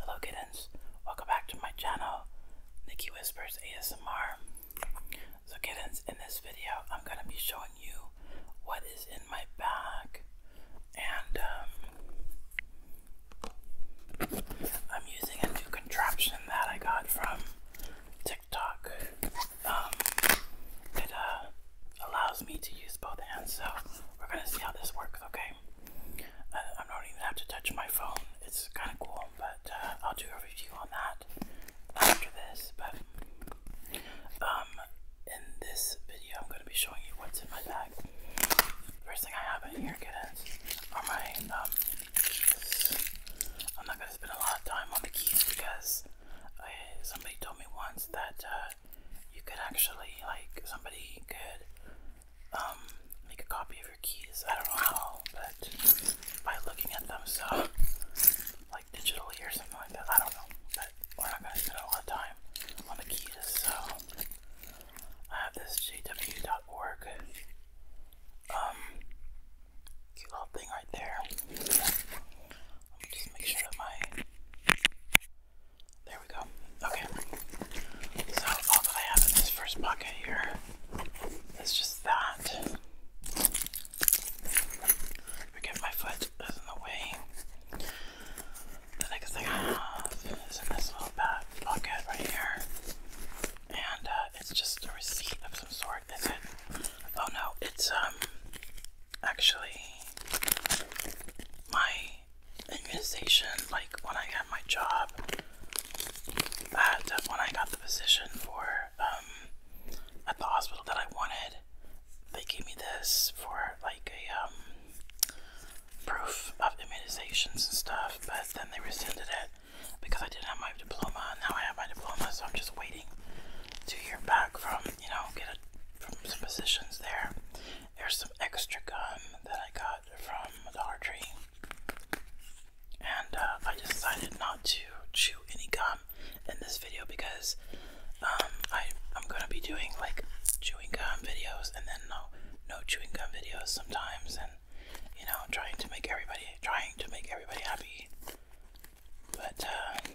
Hello kittens, welcome back to my channel, Nikki Whispers ASMR. So kittens, in this video I'm going to be showing you what is in my bag and um, I'm using a new contraption that I got from TikTok that um, uh, allows me to use both hands so we're gonna see how this works, okay? Uh, I, don't even have to touch my phone. It's kind of cool, but uh, I'll do a review on that after this. But um, in this video, I'm gonna be showing you what's in my bag. First thing I have in here, kids, are my um. I'm not gonna spend a lot of time on the keys because uh, somebody told me once that you could actually like somebody could um, make a copy of your keys. I don't know how, but by looking at them, so like digitally or something like that. I don't know, but we're not gonna spend a lot of time on the keys. So I have this jw.org um cute little thing right there. Let me just make sure that my there we go. Okay. So all that I have in this first pocket here is just that. Forget my foot is in the way. The next thing I have is in this little back pocket right here. And uh, it's just a receipt of some sort, is it? Oh no, it's um actually my immunization, like when I got my job, at, when I got the position for um, at the hospital that I wanted, they gave me this for like a um, proof of immunizations and stuff. But then they rescinded it because I didn't have my diploma. Now I have my diploma, so I'm just waiting to hear back from you know get a, from some positions there. There's some extra gum that I got from the Tree. And uh, I decided not to chew any gum in this video because um, I, I'm going to be doing like chewing gum videos and then no, no chewing gum videos sometimes and you know trying to make everybody trying to make everybody happy but uh,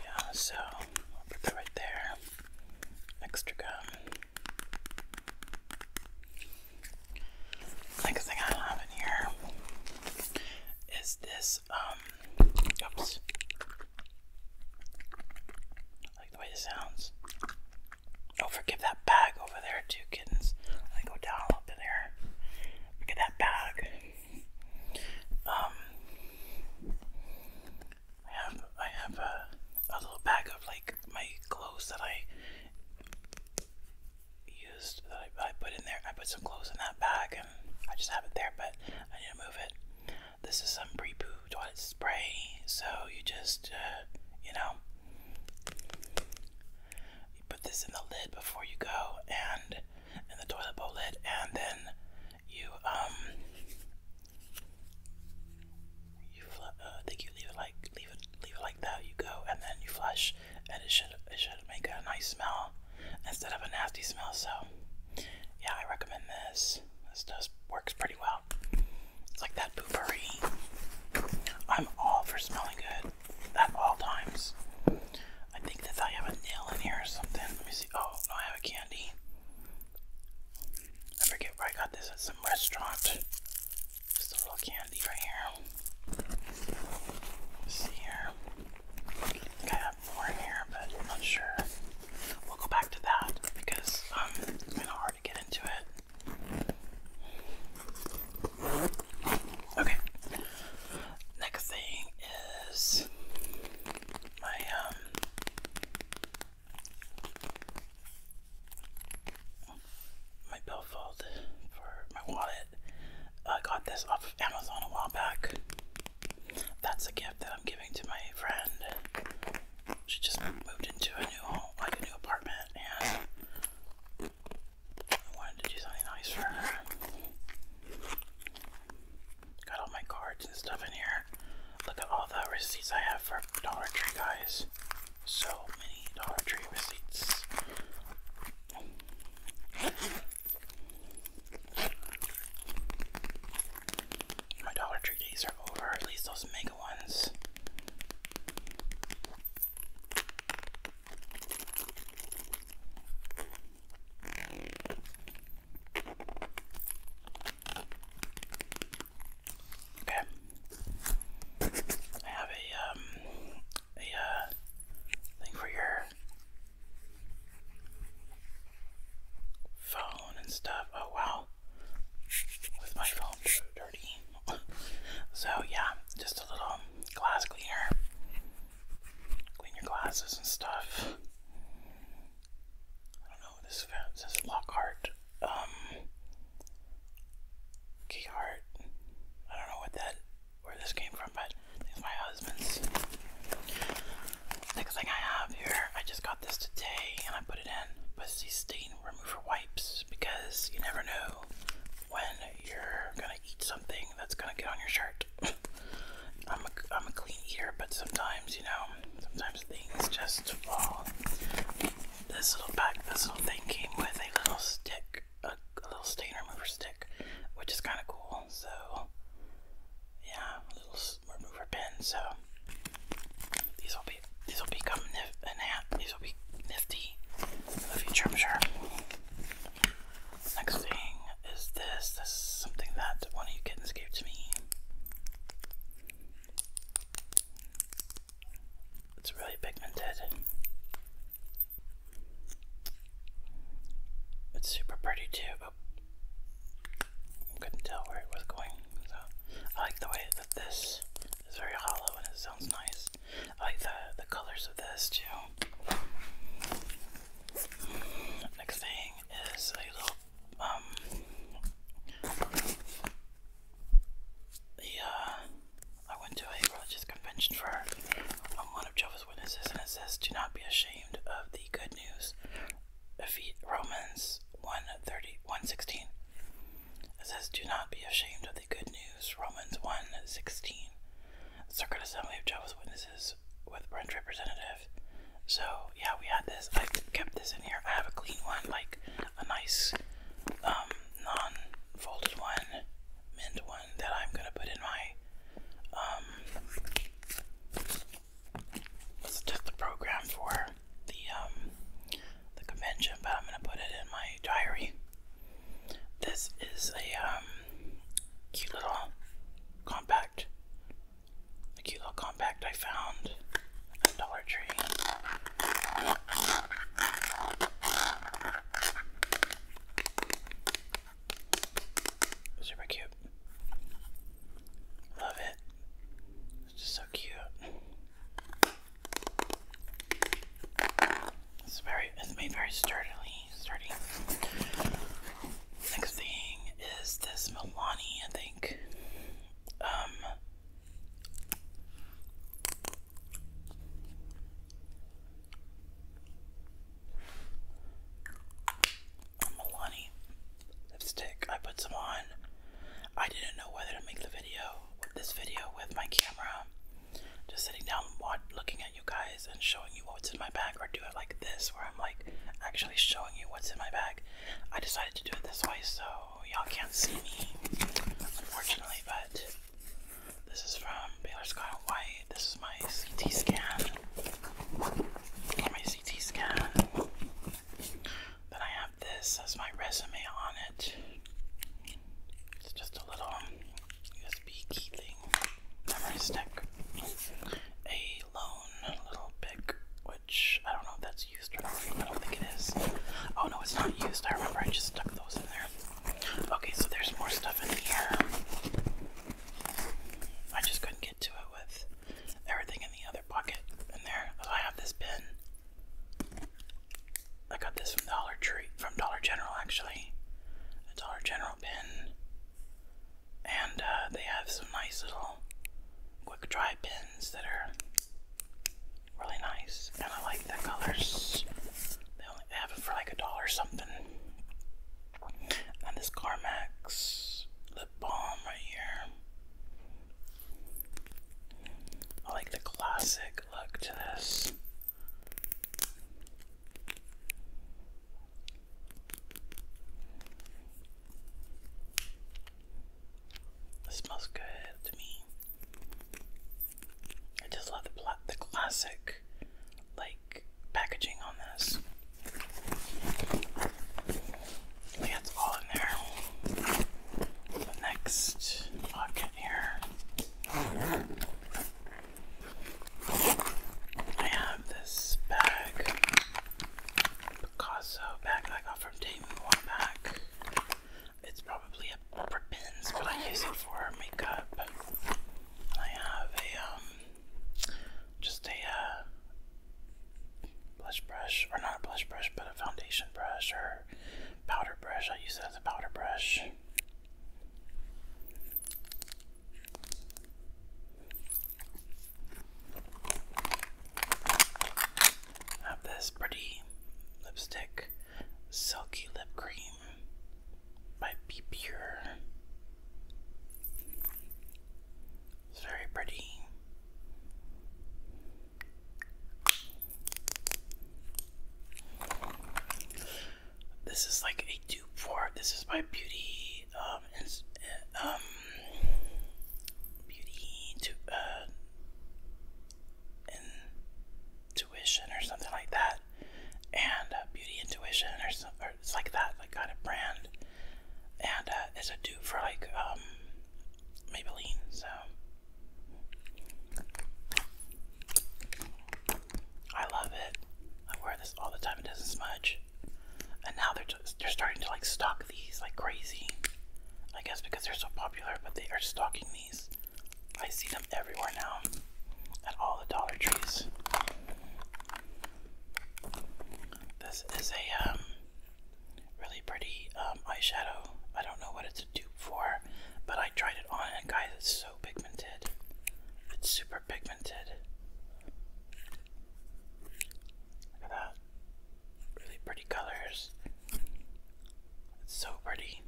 yeah, so I'll put that right there. Extra gum. Next thing I have in here is this, um, oops. I like the way it sounds. Oh, forgive that bag over there, two kittens. I go down a little bit there. Look at that bag. Um, I have I have a, a little bag of like my clothes that I used that I, I put in there. I put some clothes in that bag and I just have it there, but I need to move it. This is some pre-poo toilet spray, so you just uh, you know you put this in the lid before you go and and the toilet bowl lid, and then you um you uh, think you leave it like leave it leave it like that. You go and then you flush, and it should it should make a nice smell instead of a nasty smell. So yeah, I recommend this. This does works pretty well. It's like that poopery. I'm all for smelling good at all times. I think that I have a nail in here or something. Let me see. Oh no, I have a I forget where I got this at some restaurant. Just a little candy right here. see here. I think more in here, but I'm not sure. We'll go back to that because um, it's hard to get into it. Okay. Next thing is my um my billfold for my wallet. I got this off of Amazon a while back. That's a gift that I'm giving to my friend. She just moved into a new home, like a new apartment, and wanted to do something nice for her. Got all my cards and stuff in here. Look at all the receipts I have for Dollar Tree, guys. So many Dollar Tree receipts. My Dollar Tree days are over, at least those mega ones. Okay. I have a um, a uh, thing for your phone and stuff. Oh wow. With my phone dirty. so yeah, just a little glass cleaner clean your glasses and stuff. I don't know this says Lockhart. Um, Keyhart. I don't know what that where this came from, but it's my husband's. Next thing I have here, I just got this today and I put it in pussy stain remover wipes because you never know when you're gonna eat something that's gonna get on your shirt. I'm a, I'm a clean eater, but sometimes, you know, sometimes things just fall. This little pack, this little thing came with a little stick, a, little stain remover stick, which is kind of cool. So, yeah, a little remover pen. So, these will be these will become nif- an These will be nifty in future, i Next thing is this. This is something that one of you kittens gave to me. It's really pigmented. It's super pretty too, but I couldn't tell where it was going. So I like the way that this is very hollow and it sounds nice. I like the the colors of this too. Next thing is a little um, the uh, I went to a religious convention for um, one of Jehovah's Witnesses and it says do not be ashamed of the good news. Ephesians Romans 130 116. It says do not be ashamed of the good news. Romans 116. Circuit Assembly of Jehovah's Witnesses with branch representative. So yeah, we had this. I kept this in here. I have a clean one, like a nice um, non-folded one, mint one that I'm gonna put in my um it's just the program for the um the convention, but I'm gonna put it in my diary. This is a um cute little compact. A cute little compact I found at Dollar Tree. Super cute. Love it. It's just so cute. It's very it's made very sturdily sturdy. Next thing is this Milani, I think. Um, Milani lipstick. I put some on. I didn't know whether to make the video, this video, with my camera. Just sitting down, watch, looking you guys and showing you what's in my bag, or do it like this, where I'm like actually showing you what's in my bag. I decided to do it this way so y'all can't see me, unfortunately, but this is from Baylor Scott & White. This is my CT scan. My CT scan. Then I have this as my resume on it. It's just a little USB key thing, memory stick, a lone little pick, which I don't know if that's used or not. I don't think it is. Oh no, it's not used. I remember I just stuck those in there. Okay, so there's more stuff in here. I just couldn't get to it with everything in the other pocket in there. So oh, I have this pin. I got this from Dollar Tree, from Dollar General actually. A Dollar General pin and uh, they have some nice little quick dry pins that are really nice, and I like the colors. They only have it for like a dollar something. And this Carmax lip balm right here. I like the classic look to this. It smells good to me. I just love the the classic like packaging on this. Like that's all in there. next pocket here. I have this bag, Picasso bag that I got from Dame a while back. It's probably a rubber pins, but I use it for makeup. I have a um, just a uh, blush brush, or not a blush brush, but a foundation brush or powder brush. I use that as a powder brush. Have this pretty lipstick, Silky Lip Cream by Be It's very pretty. This is like a dupe for this is my beauty um ins eh, um beauty to uh intuition or something like that and uh, beauty intuition or something or it's like that like kind of brand and uh, it's a dupe for like um Maybelline so I love it. I wear this all the time. It doesn't smudge. And now they're they're starting to like stock these like crazy. I guess because they're so popular, but they are stocking these. I see them everywhere now at all the Dollar Trees. This is a um, really pretty um, eyeshadow. I don't know what it's a dupe for, but I tried it on, and guys, it's so pigmented. It's super pigmented. Look at that. Really pretty colors. It's so pretty.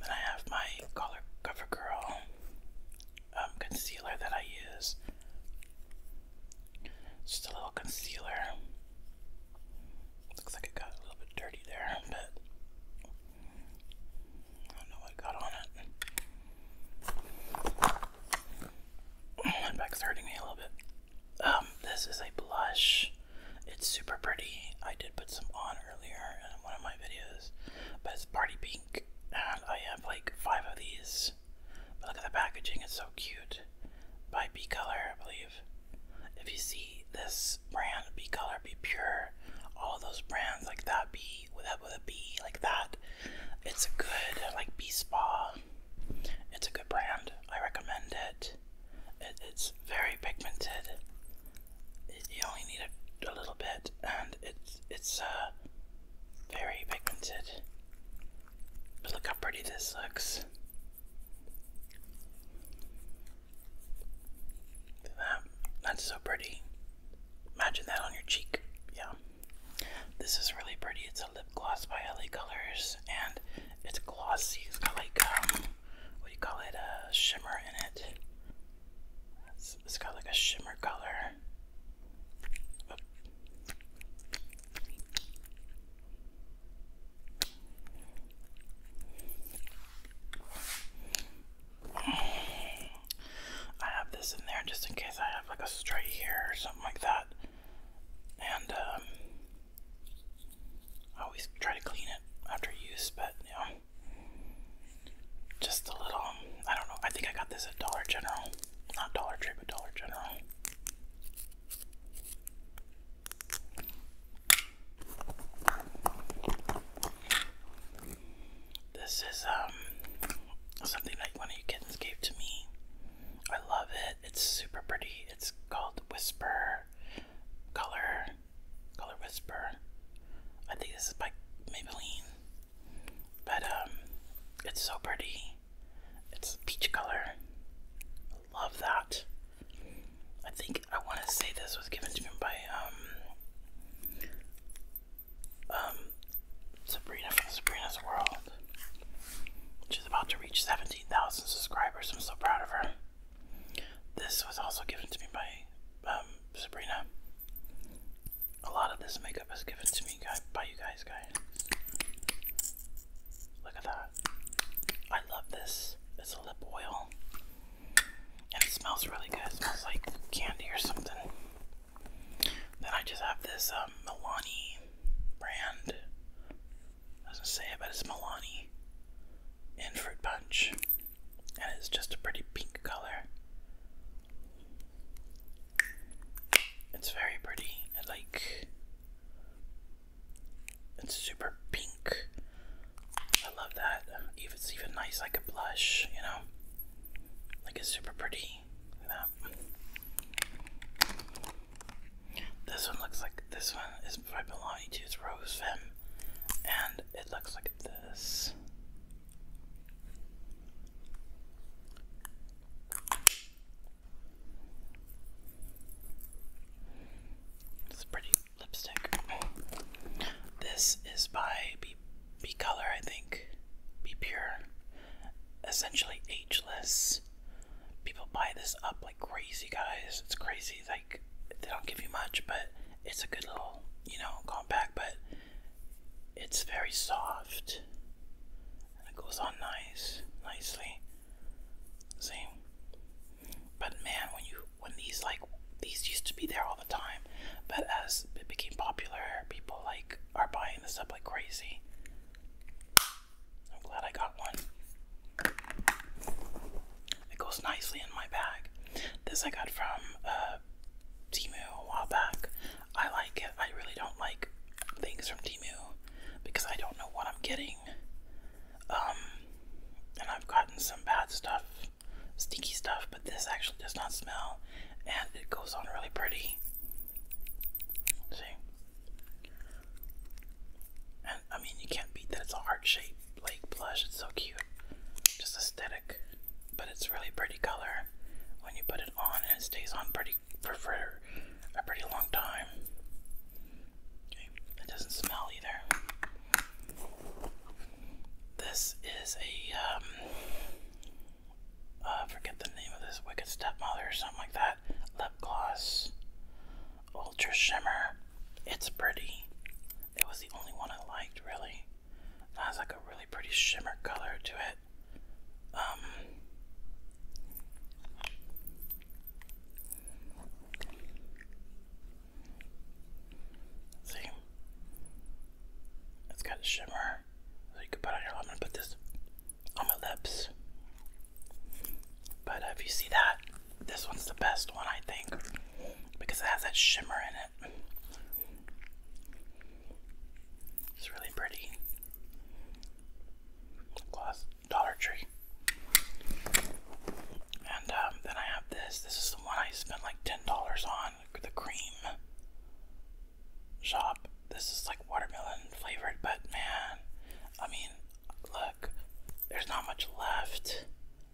then I have my CoverGirl um, concealer that I use. Just a little concealer. Looks like it got a little bit dirty there, but I don't know what got on it. My back's hurting me a little bit. Um, this is a blush. It's super pretty. I did put some on earlier in one of my videos, but it's party pink, and I have like five of these. But look at the packaging; it's so cute by B Color, I believe. If you see this brand, B Color, Be Pure, all those brands like that, B with a, with a B like that, it's a good like B Spa. It's a good brand. I recommend it. it's very pigmented. you only need a, little bit, and it's it's uh very pigmented. But look how pretty this looks. That, that's so pretty. Imagine that on your cheek. Yeah. This is really pretty. It's a lip gloss by LA Colors and it's glossy. It's got like, um, what do you call it? A shimmer in it. it's got like a shimmer color. I have this in there just in case I have like a stray hair or something like that. And um, I always try to clean it after use, but you just a little. Um, I don't know. I think I got this at Dollar General, not Dollar Tree, but Dollar General. This is um something that one of you kittens gave to me. I love it. It's super pretty. It's called Whisper Color Color Whisper. I think this is by Maybelline. But um it's so pretty. It's peach color love that. I think I want to say this was given to me by um, um Sabrina from Sabrina's World. She's about to reach 17,000 subscribers. I'm so proud of her. This was also given to me by um, Sabrina. A lot of this makeup is given to me by you guys, guys. Look at that. I love this. It's a lip oil. And it smells really good. It smells like candy or something. Then I just have this um, Milani brand. Doesn't say it, but it's Milani in Fruit Punch. And it's just a pretty pink color. It's very pretty. It like it's super pink. I love that. If it's even nice like a blush, you know. Like a super pretty. That. This one looks like this one is by Milani too. It's Rose Femme, and it looks like this. It's a pretty lipstick. This is by Be, Be Color, I think. Be Pure. Essentially ageless. People buy this up like crazy, guys. It's crazy. Like, they don't give you much, but it's a good little, you know, compact, but it's very soft it goes on nice, nicely. See, but man, when you when these like these used to be there all the time, but as it became popular, people like are buying this up like crazy. I'm glad I got one. It goes nicely in my bag. This I got from uh, Timu a while back. I like it. I really don't like things from Timu because I don't know what I'm getting. Um, and I've gotten some bad stuff, stinky stuff, but this actually does not smell, and it goes on really pretty. See? And I mean, you can't beat that. It's a heart shape, like blush. It's so cute. Just aesthetic, but it's really pretty color when you put it on, and it stays on pretty for a pretty long time. Okay, it doesn't smell either. This is a um, uh, forget the name of this wicked stepmother or something like that. Lip gloss ultra shimmer. It's pretty. It was the only one I liked really. It has like a really pretty shimmer color to it. Um See? It's got a shimmer. So you can put on your I'm gonna put this on my lips. But if you see that, this one's the best one I think. Because it has that shimmer in it. It's really pretty. Gloss. Dollar Tree. And um, then I have this. This is the one I spent like ten dollars on. The cream shop. This is like watermelon flavored, but man, I mean, look, there's not much left.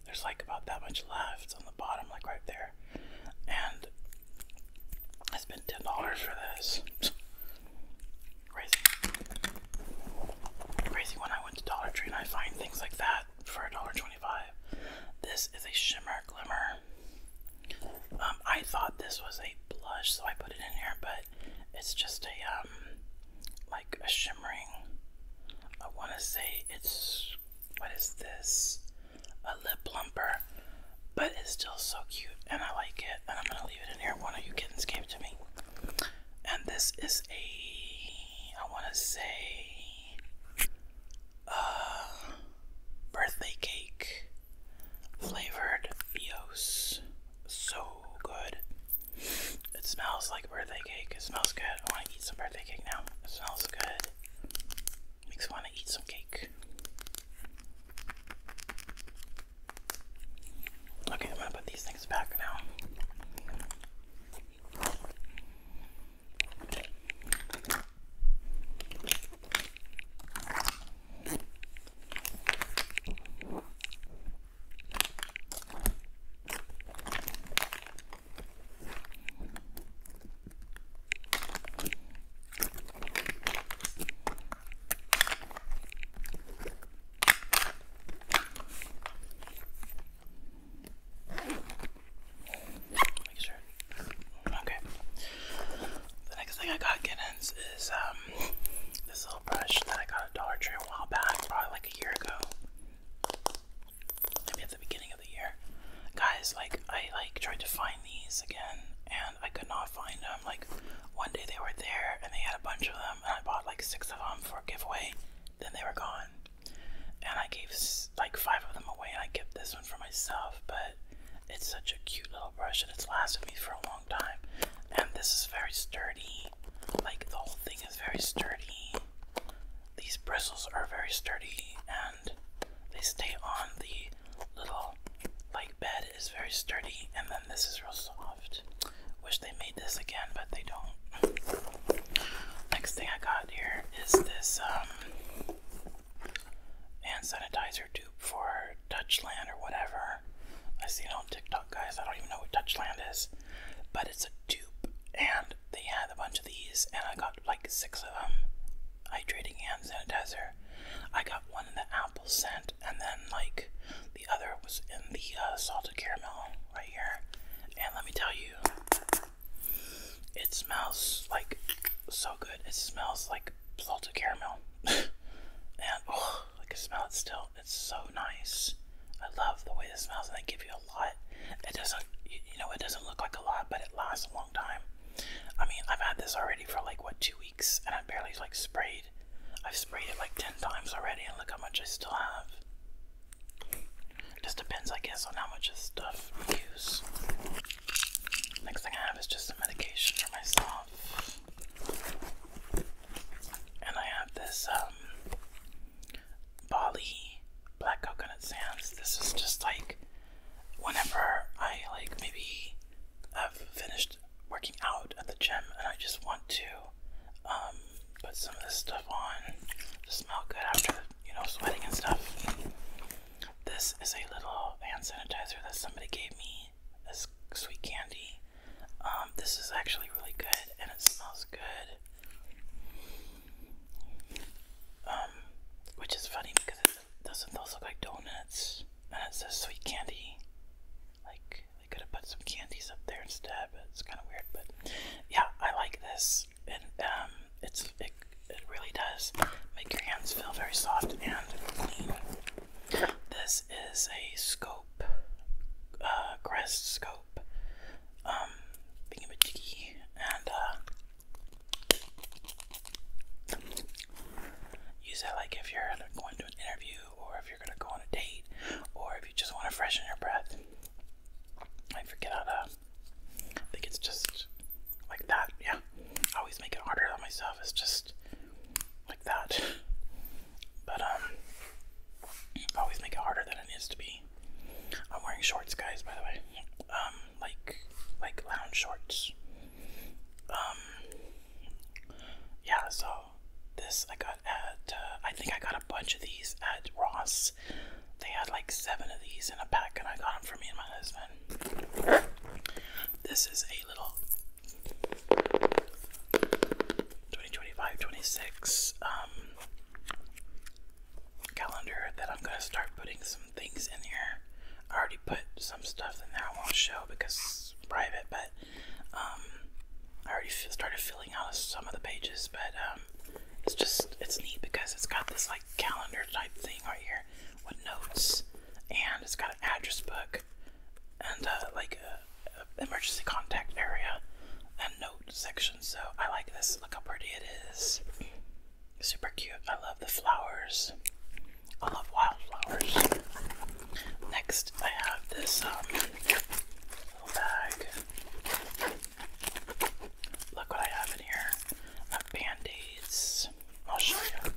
There's like about that much left on the bottom, like right there. And I spent ten dollars for this. Crazy. Crazy when I went to Dollar Tree and I find things like that for $1.25. This is a shimmer glimmer. Um, I thought this was a blush, so I put it in here, but it's just a, um, like a shimmering. I want to say it's, what is this? A lip plumper, but it's still so cute, and I like it, and I'm going to leave it in here. Why don't you kids gave it to me? and this is a I want to say uh birthday cake flavored Eos. So good. It smells like birthday cake. It smells good. I want to eat some birthday cake now. It smells good. Makes me want to eat some cake. Okay, I'm gonna put these things back now. Make sure. Okay. The next thing I got Giddens is um, this little brush that I got at Dollar Tree a while back, probably like a year ago. at the beginning of the year. Guys, like I like tried to find these again and I could not find them them. Like one day they were there and they had a bunch of them, and I bought like six of them for a giveaway. Then they were gone, and I gave like five of them away, and I kept this one for myself. But it's such a cute little brush, and it's lasted me for a long time. And this is very sturdy. Like the whole thing is very sturdy. These bristles are very sturdy, and they stay on the little like bed head is very sturdy, and then this is real soft. Wish they made this again, but they don't. Next thing I got here is this um, hand sanitizer dupe for Dutchland or whatever. I see it on TikTok, guys. I don't even know what Dutchland is, but it's a dupe, and they had a bunch of these, and I got like six of them. Hydrating hand sanitizer. I got one in the apple scent, and then like the other was in the uh, salted caramel right here. And let me tell you, it smells like so good. It smells like salted caramel. and oh, I can smell it still. It's so nice. I love the way it smells, and they give you a lot. It doesn't, you know, it doesn't look like a lot, but it lasts a long time. I mean, I've had this already for like what two weeks, and I barely like sprayed I've sprayed it like 10 times already, and look how much I still have. It just depends, I guess, on how much of stuff we use. Next thing I have is just some medication for myself. And I have this, um, Bali black coconut sands. This is just like whenever I like maybe have finished working out at the gym and I just want to um, put some of this stuff on to smell good after, you know, sweating and stuff. This is a little hand sanitizer that somebody gave me as sweet candy. Um, this is actually really good and it smells good. Um, which is funny because it doesn't those look like donuts and it's a sweet candy like they could have put some candies up there instead, but it's kind of weird. But yeah, I like this, and um, it's it, it really does make your hands feel very soft and clean. This is a scope, uh, crest scope, um, thingamajiggy, and uh, Use that like if you're going to an interview or if you're going to go on a date or if you just want to freshen your breath. I forget how to. I think it's just like that. Yeah. always make it harder on myself. It's just like that. But, um, always make it harder than it needs to be. I'm wearing shorts, guys, by the way. Um, like, like lounge shorts. Um, yeah, so this I got at, uh, I think I got a bunch of these at Ross. They had like seven of these in a pack, and I got them for me and my husband. This is a little 2025 26 um, calendar that I'm going to start putting some things in here. I already put some stuff in there I won't show because private, but um, I already started filling out some of the pages, but um, it's just it's neat because it's got this like calendar type thing right here with notes, and it's got an address book and uh, like emergency contact area and note section. So I like this. Look how pretty it is. Super cute. I love the flowers. I love wildflowers. Next, I have this um, little bag. Look what I have in here. i band-aids. I'll show you.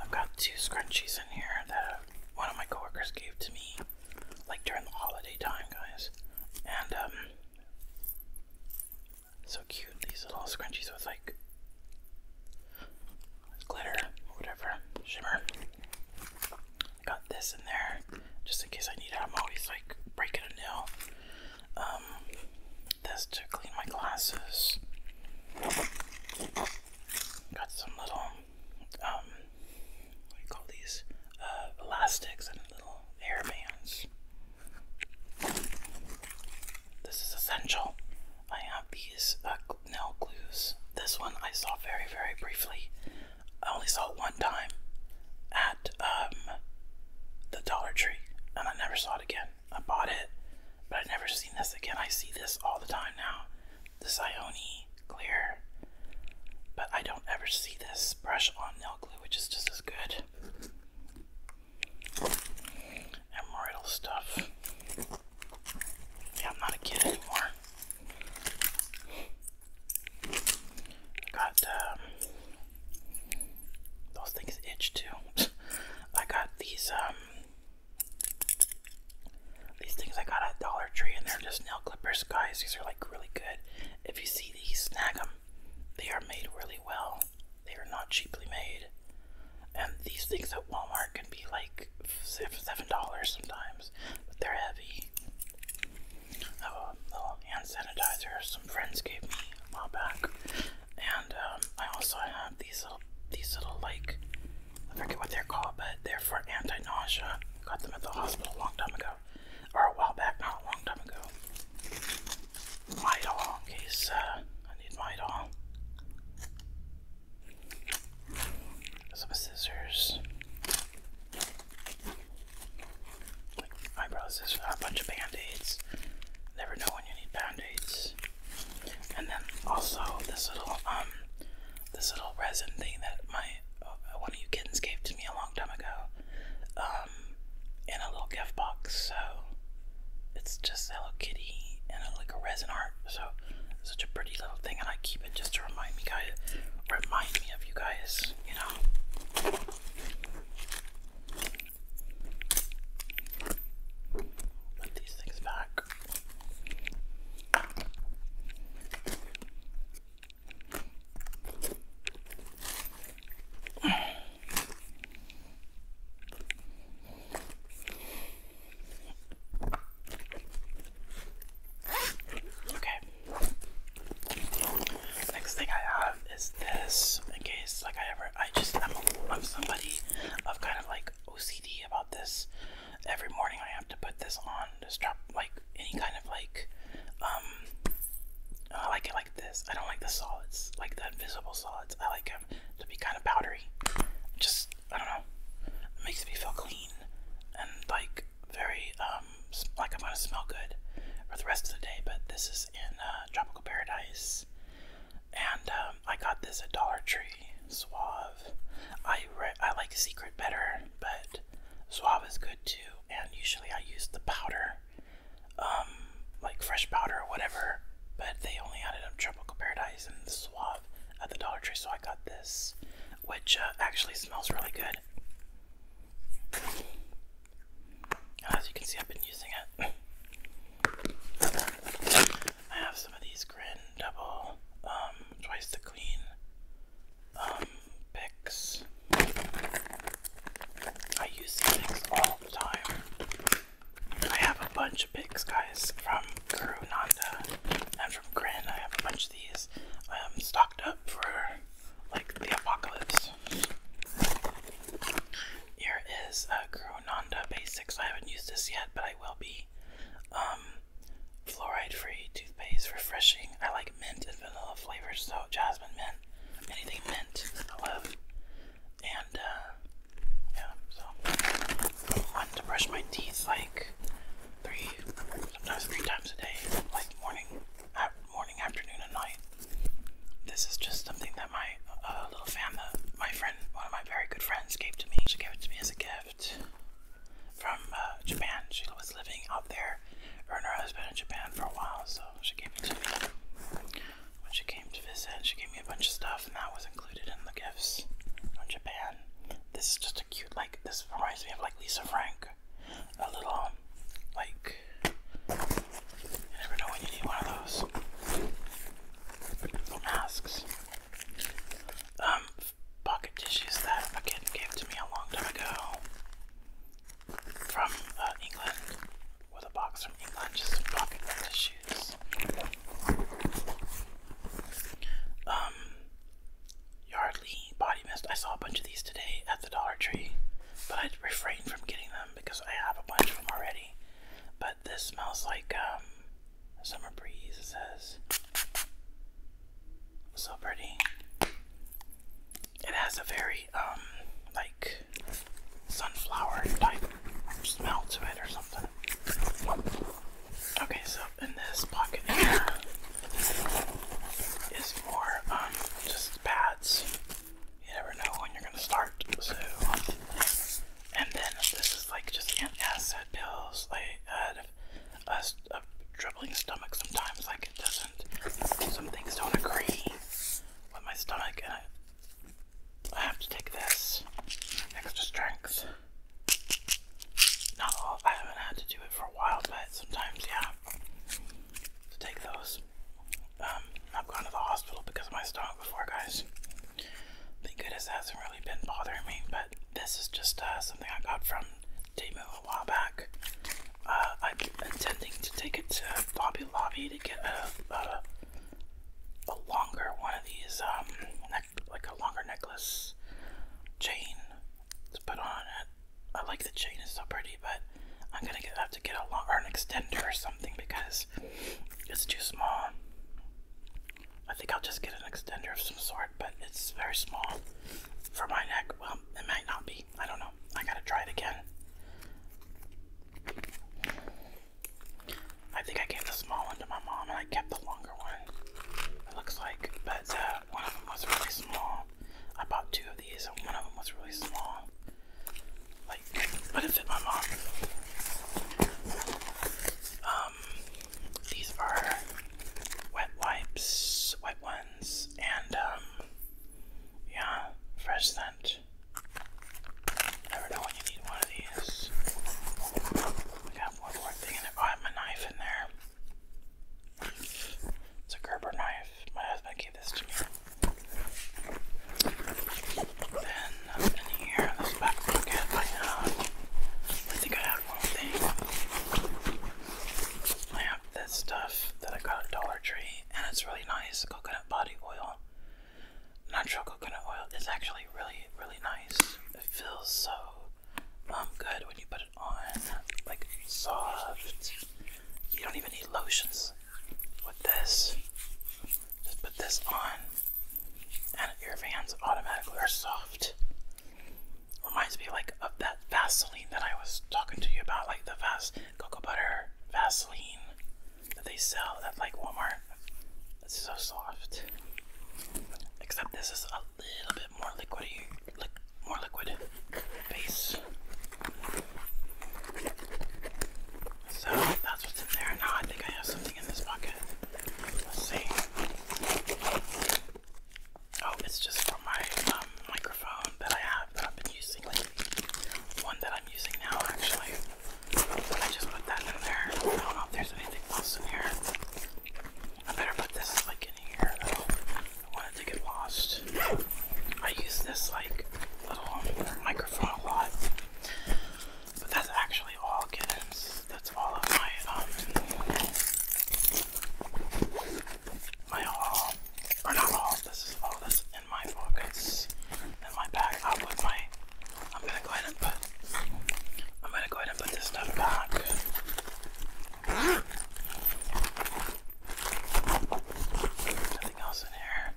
I've got two scrunchies in here that one of my coworkers gave to me, like during the holiday time, guys. And um, so cute. These little scrunchies with like glitter, whatever, shimmer. Got this in there just in case I need it. I'm always like breaking a nail. Um, this to clean my glasses. Got some little, um, what call these? Uh, elastics and little hair bands. This is essential. I have these uh, nail glues. This one I saw very, very briefly. I only saw it one time at um, the Dollar Tree, and I never saw it again. I bought it, but I've never seen this again. I see this all the time now. The Ioni clear, but I don't ever see this brush on nail glue, which is just as good. Emerald stuff. Yeah, I'm not a kid anymore. got um, those things itch too. I got these um these things I got at Dollar Tree, and they're just nail clippers, guys. These are like really good. If you see these, snag them. They are made really well. They are not cheaply made. And these things at Walmart can be like $7 sometimes, but they're heavy. have a little hand sanitizer some friends gave me a while back. And um, I also have these little, these little like, I forget what they're called, but they're for anti-nausea. Got them at the hospital a long time ago, or a while back, not a long time ago. Midol, in case uh, I need Midol some scissors, eyebrows, eyebrow scissors, a bunch of band aids. Never know when you need band aids. And then also this little um this little resin thing that my uh, one of you kittens gave to me a long time ago um in a little gift box. So it's just Hello Kitty and a, like a resin art. So such a pretty little thing, and I keep it just to remind me guys, remind me of you guys, you know. Put these things back. Okay. Next thing I have is this. In case, like, I ever, I just, I'm, somebody of kind of like OCD about this. Every morning I have to put this on to strap, like, any kind of like, um, I like it like this. I don't like the solids, like the invisible solids. I like them of to be kind of powdery. Just I don't know. It makes me feel clean and like very um like I'm gonna smell good for the rest of the day. But this is in uh, Tropical Paradise, and um, I got this at Dollar Tree. Suave. I I like Secret better, but Suave is good too. And usually I use the powder, um, like fresh powder or whatever but they only had it in Tropical Paradise and Swab at the Dollar Tree, so I got this, which uh, actually smells really good. As you can see, I've been using it. I have some of these Grin Double, um, Twice the Queen, um, picks. I use these all the time. I have a bunch of picks, guys, from Guru Nanda and from Grin. I have a bunch of these um, stocked up for like the apocalypse. Here is a Guru Basics. I haven't used this yet, but I will be. Um, fluoride-free toothpaste, refreshing. I like mint and vanilla flavors, so jasmine mint, anything mint, I love and uh, yeah, so I want to brush my teeth like three, sometimes three times a day, like morning, morning, afternoon, and night. This is just something that my uh, little fan, my friend, one of my very good friends, gave to me. She gave it to me as a gift from uh, Japan. She was living out there, her and her husband in Japan for a while, so she gave it to me when she came to visit, she gave me a bunch of stuff, and that was included in the gifts from Japan. This is just a cute, like, this reminds me of, like, Lisa Frank. A little, um, like, you never know when you need one of those masks. Um, pocket tissues that a kid gave to me a long time ago from uh, England with a box from England just popping pocket the shoes. Um, Yardley body mist. I saw a bunch of these today at the Dollar Tree, but I refrained from getting them because I have a bunch of them already. But this smells like a um, summer breeze. It says so pretty. It has a very um, sunflower type smell to it or something. Okay, so in this pocket here is more um just pads. You never know when you're gonna start, so and then this is like just antacid pills. I had a, a troubling stomach sometimes, like it doesn't. Some things don't agree with my stomach, I have to take this extra strength. Not all, I haven't had to do it for a while, but sometimes, yeah, to take those. Um, I've gone to the hospital because of my stomach before, guys. Thank goodness it hasn't really been bothering me, but this is just uh, something I got from Temu a while back. Uh, I'm intending to take it to Bobby Lobby to get a a longer one of these, um, like a longer necklace chain to put on it. I like the chain; it's so pretty, but I'm gonna have to get a long or an extender or something because it's too small. I think I'll just get an extender of some sort, but it's very small for my neck. Well, it might not be. I don't know. I gotta try it again. I think I gave the small one to my mom and I kept the longer one. It looks like, but uh, one of them was really small. I bought two of these and one of them was really small. Like, but it fit my mom. Um, these are wet wipes, wet ones, and um, yeah, fresh scent. Never know when you need one of these. We got one more thing in there. I have my knife in there. It's a Gerber knife. My husband gave this to me. Then up in here, this back pocket, I have. I think I have one thing. I have this stuff that I got at Dollar Tree, and it's really nice coconut body oil natural coconut oil is actually really, really nice. It feels so um, good when you put it on, like soft. You don't even need lotions with this. Just put this on, and your hands automatically are soft. Reminds me like of that Vaseline that I was talking to you about, like the Vas cocoa butter Vaseline that they sell at like Walmart. It's so soft. Except this is a little bit more liquidy, li more liquid base. So that's what's in there. Now I think I have something in this pocket. Let's see. Oh, it's just for my um, microphone that I have that I've been using lately. One that I'm using now, actually. I just put that in there. I don't know if there's anything else in here. I better put this like in here though. I wanted to get lost. I use this like little microphone a lot. But that's actually all kittens. That's all of my um my haul. Or not all, this is all this in my pockets, in my bag. i put my. I'm gonna go ahead and put. I'm gonna go ahead and put this stuff back. Nothing else in here.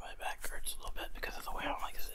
My back hurts a little bit because of the way I don't like sitting.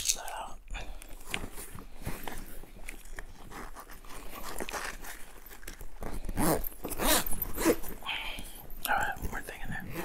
So, all right, one more thing in there.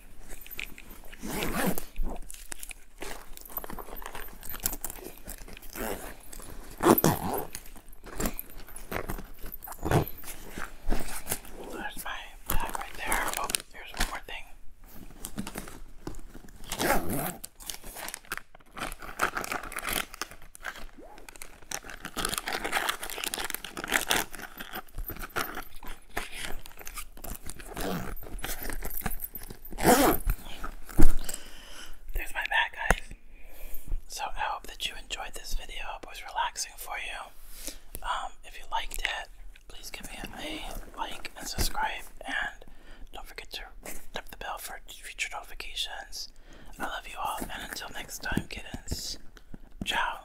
There's my bag right there. Oh, here's one more thing. There's my back, guys. So I hope that you enjoyed this video. it was relaxing for you. Um, if you liked it, please give me a like and subscribe. And don't forget to tap the bell for future notifications. I love you all, and until next time, kittens. Ciao.